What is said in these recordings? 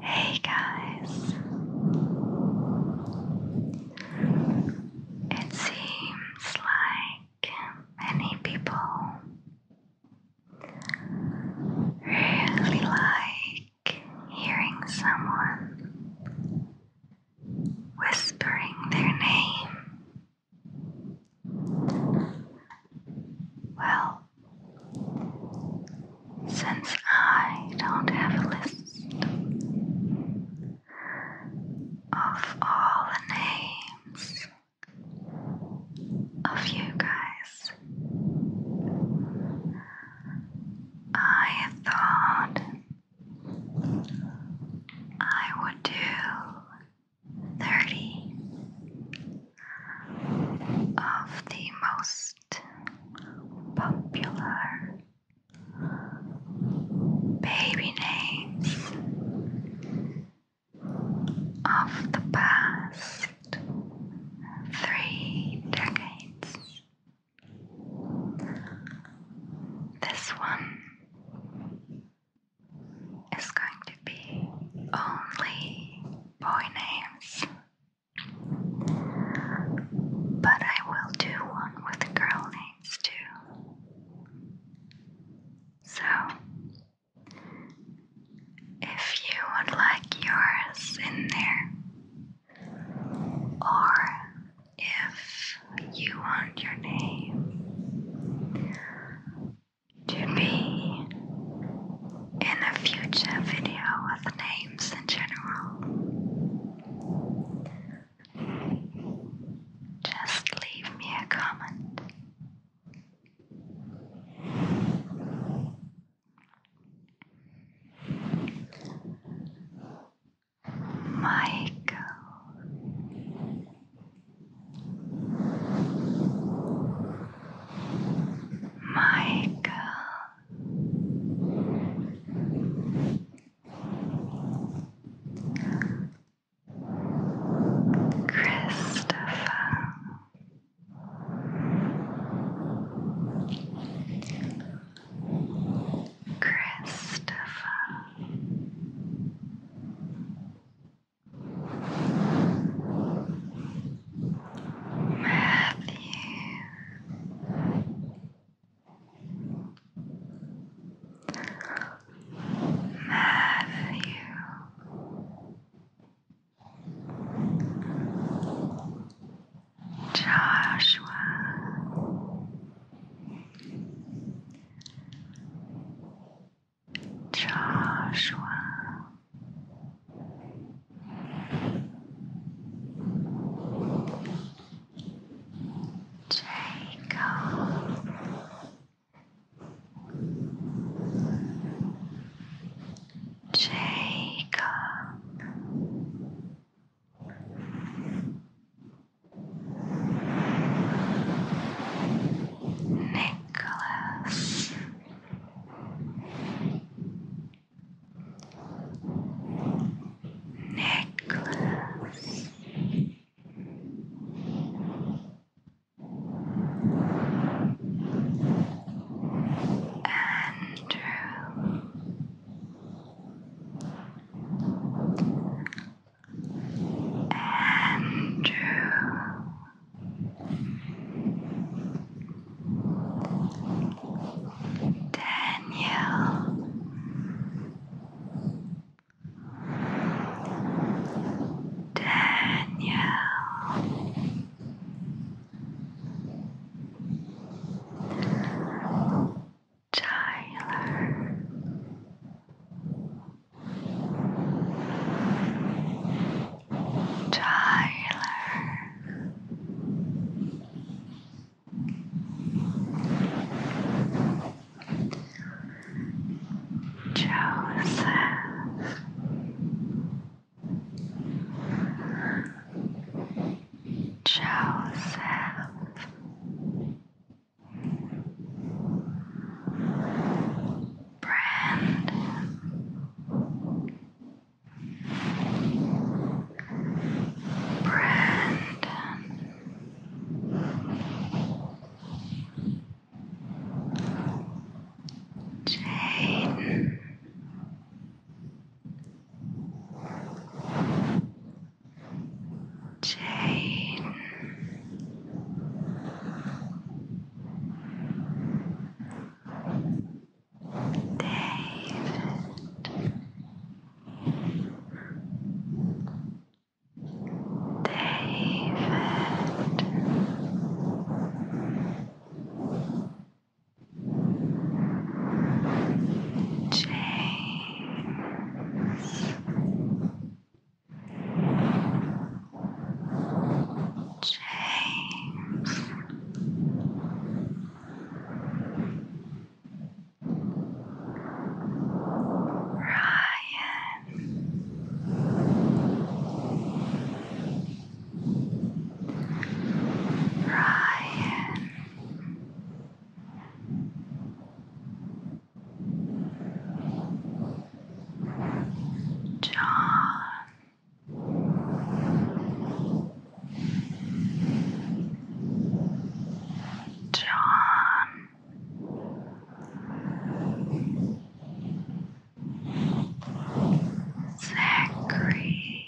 Hey guys! It seems like many people really like hearing someone whispering their name. Well, since I don't have a list of all the names of you guys, I thought I would do 30 of the most popular baby names of the past three decades. This one is going to be only boy names. But I will do one with girl names too. So, if you would like yours in there, or if you want your name to be in a future video with names in general. Just leave me a comment. Michael Michael Christopher Christopher Matthew Matthew Joshua Joshua Jacob Jacob Nicholas necklace. Andrew Andrew Daniel. Daniel. Tyler Tyler. Joseph Joseph brand. Brandon Jaden Jane David James James. Ryan. Ryan. John. John. Zachary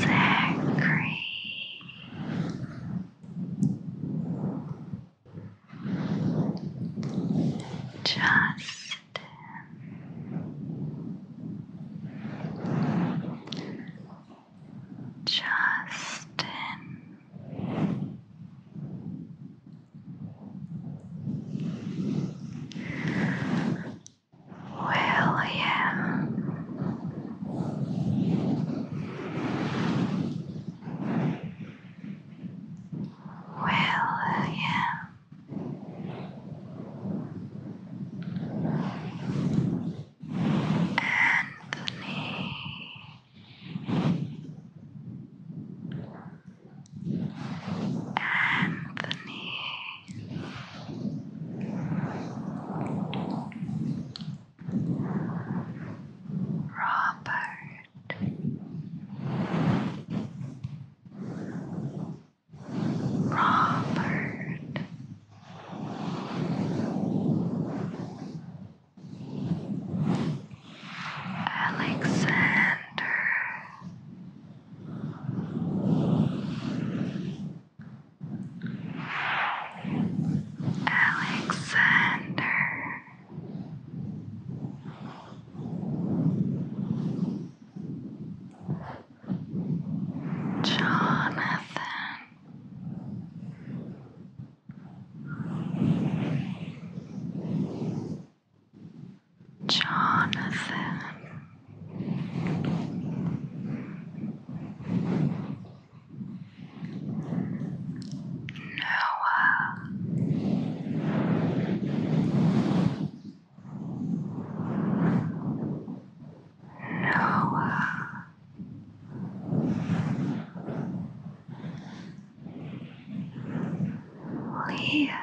Zachary Justin, Justin. William well, yeah. Anthony. Anthony. Robert Robert Alexander Alexander. Jonathan Jonathan Noah Noah Liam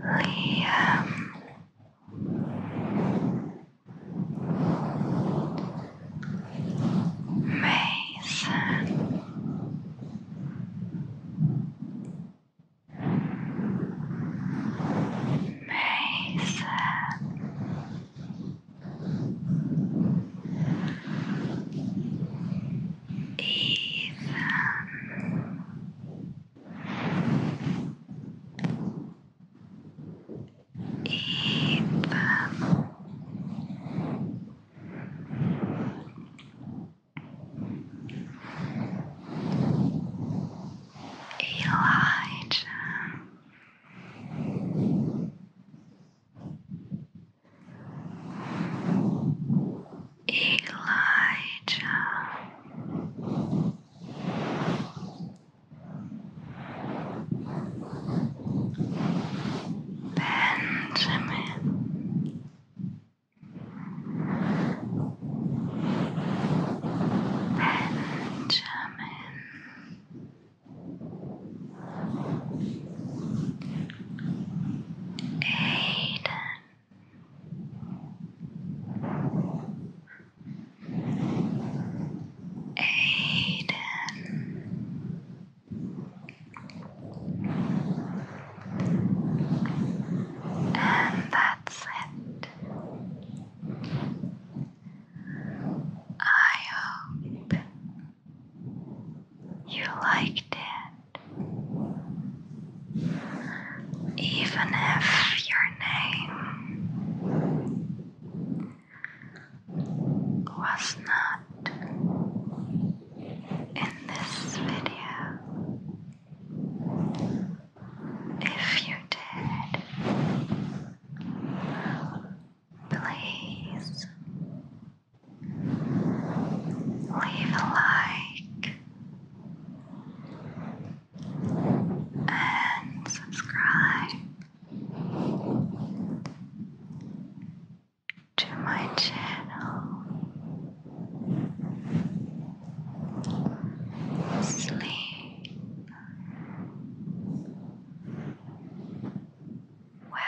Liam Mason. Mason. Ethan Ethan. Elijah. Elijah. Benjamin. Benjamin. Aiden. Aiden. And that's it. I hope you liked it even if your name was not in this video. If you did, please leave a like and subscribe to my channel Sleep Well.